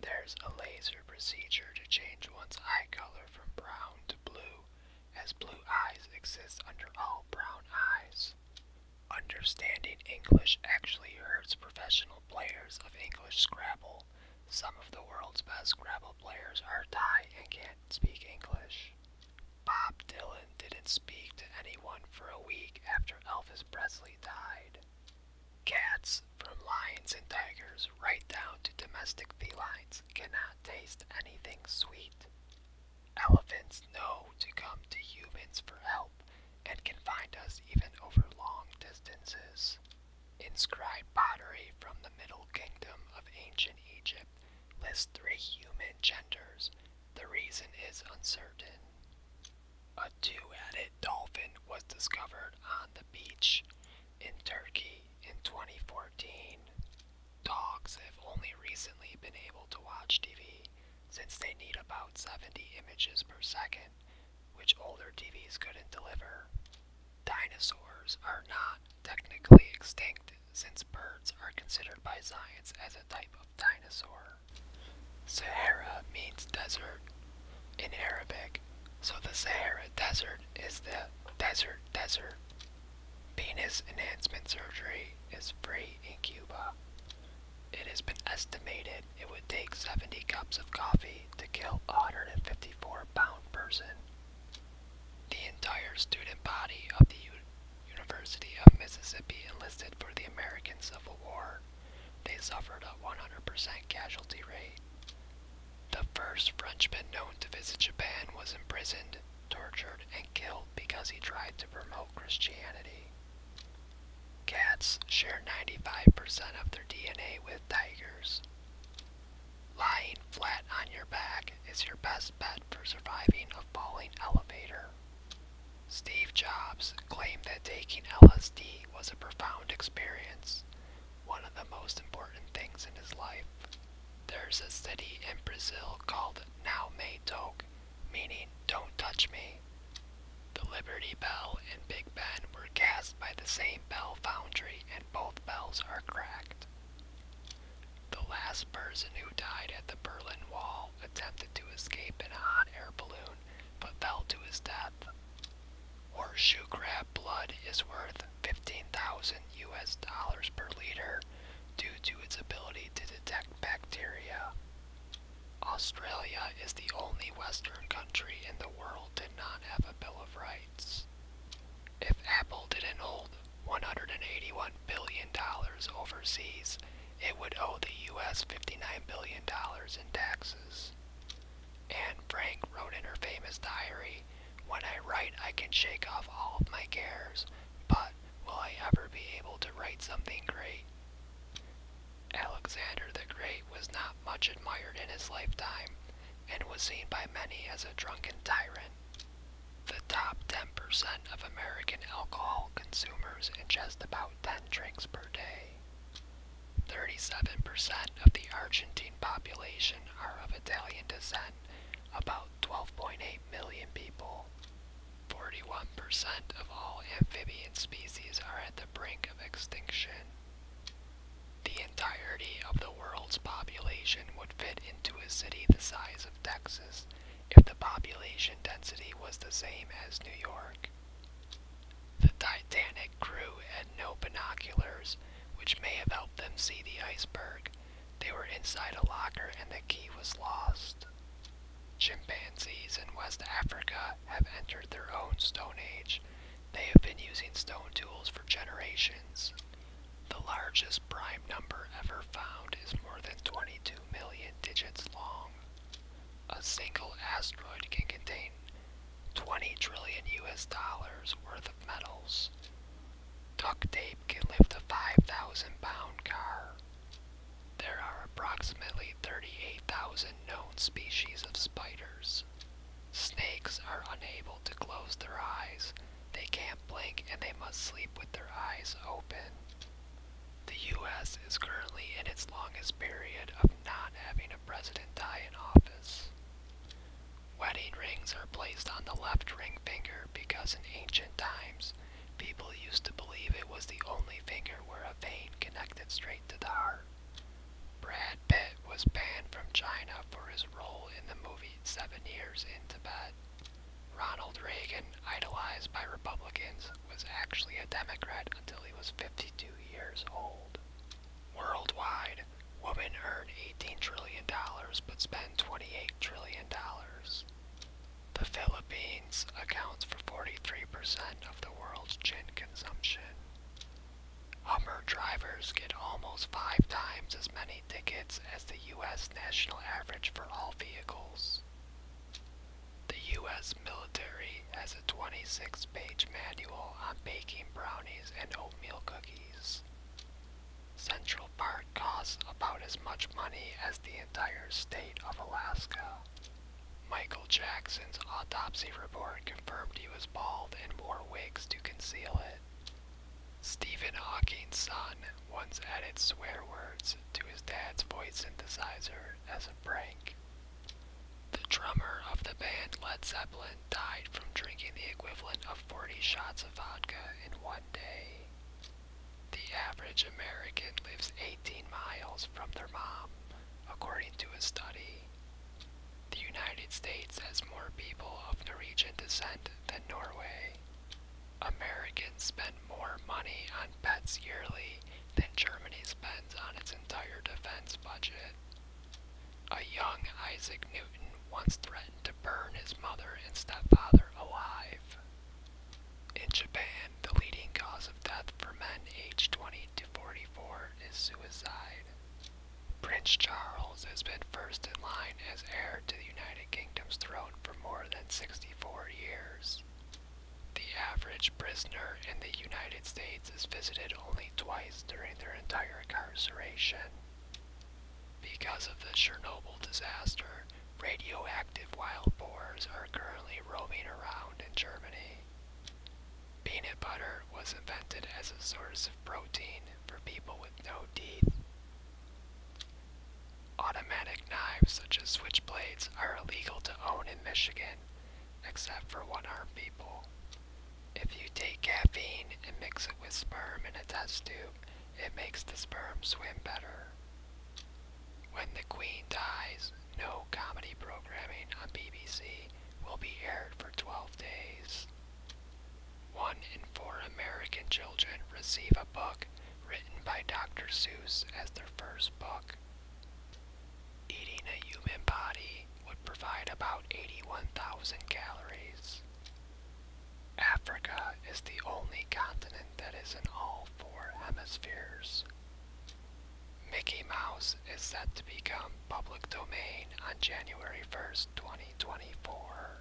There's a laser procedure to change one's eye color from brown to blue, as blue eyes exist under all brown eyes. Understanding English actually hurts professional players of English Scrabble. Some of the world's best Scrabble players are Thai and can't speak English. Bob Dylan didn't speak to anyone for a week after Elvis Presley died. Cats, from lions and tigers right down to domestic felines, cannot taste anything sweet. Elephants know to come to humans for help and can find us even over long distances. Inscribed pottery from the Middle Kingdom of ancient Egypt lists three human genders. The reason is uncertain. A two-headed dolphin was discovered on the beach in Turkey in 2014. Dogs have only recently been able to watch TV since they need about 70 images per second, which older TVs couldn't deliver. Dinosaurs are not technically extinct since birds are considered by science as a type of dinosaur. Sahara means desert in Arabic, so the Sahara Desert is the desert desert. Penis enhancement surgery is free in Cuba. It has been estimated it would take 70 cups of coffee to kill a 154 pound person. The entire student body of the University of Mississippi enlisted for the American Civil War they suffered a 100% casualty rate. The first Frenchman known to visit Japan was imprisoned, tortured, and killed because he tried to promote Christianity. Cats share 95% of their DNA with tigers. Lying flat on your back is your best bet for surviving a falling elevator. Steve Jobs claimed that taking LSD was a profound experience, one of the most important things in his life. There's a city in Brazil called Now Me Toque, meaning don't touch me. The Liberty Bell and Big Ben were cast by the same bell foundry and both bells are cracked. The last person who died at the Berlin Wall attempted to escape in a hot air balloon but fell to his death. Or shoe crab blood is worth 15,000 US dollars per liter due to its ability to detect bacteria. Australia is the only Western country in the world to not have a Bill of Rights. If Apple didn't hold $181 billion overseas, it would owe the US $59 billion in taxes. Anne Frank wrote in her famous diary, When I write, I can shake off all of my cares, but will I ever be able to write something great? Alexander the Great was not much admired in his lifetime and was seen by many as a drunken tyrant. The top 10% of American alcohol consumers ingest about around drinks per day. 37% of the Argentine population are of Italian descent, about 12.8 million people. 41% of all amphibian species are at the brink of extinction. The entirety of the world's population would fit into a city the size of Texas if the population density was the same as New York. The Titanic crew had no binoculars, which may have helped them see the iceberg. They were inside a locker and the key was lost. Chimpanzees in West Africa have entered their own Stone Age. They have been using stone tools for generations. The largest prime number ever found is more than 22 million digits long. A single asteroid can contain 20 trillion US dollars worth of metals. Duct tape can lift a 5,000 pound car. There are approximately 38,000 known species of spiders. Snakes are unable to close their eyes. They can't blink and they must sleep with their eyes open. The U.S. is currently in its longest period of not having a president die in office. Wedding rings are placed on the left ring finger because in ancient times, people used to believe it was the only finger where a vein connected straight to the heart. Brad Pitt was banned from China for his role in the movie Seven Years in Tibet. Ronald Reagan, idolized by Republicans, was actually a Democrat until he was 52 years old. Worldwide, women earn $18 trillion but spend $28 trillion. The Philippines accounts for 43% of the world's gin consumption. Hummer drivers get almost five times as many tickets as the U.S. national average for all vehicles. The U.S. military has a 26 page manual on baking brownies and oatmeal cookies. Central Park costs about as much money as the entire state of Alaska. Michael Jackson's autopsy report confirmed he was bald and wore wigs to conceal it. Stephen Hawking's son once added swear words to his dad's voice synthesizer as a prank. The drummer of the band Led Zeppelin died from drinking the equivalent of 40 shots of vodka in one day. The average American lives 18 miles from their mom, according to a study. The United States has more people of Norwegian descent than Norway. Americans spend more money on pets yearly than Germany spends on its entire defense budget. A young Isaac Newton once threatened to burn his mother and stepfather alive. In Japan, the leading cause of death for men aged 20 to 44 is suicide. Prince Charles has been first in line as heir to the United Kingdom's throne for more than 64 years. The average prisoner in the United States is visited only twice during their entire incarceration. Because of the Chernobyl disaster, radioactive wild boars are currently roaming around in Germany. Peanut butter was invented as a source of protein for people with no teeth. Automatic knives, such as switchblades, are illegal to own in Michigan, except for one armed people. If you take caffeine and mix it with sperm in a test tube, it makes the sperm swim better. When the Queen dies, no comedy programming on BBC will be aired for 12 days. One in four American children receive a book written by Dr. Seuss as their first book. Eating a human body would provide about 81,000 calories. Africa is the only continent that is in all four hemispheres. Mickey Mouse is set to become public domain on January 1st, 2024.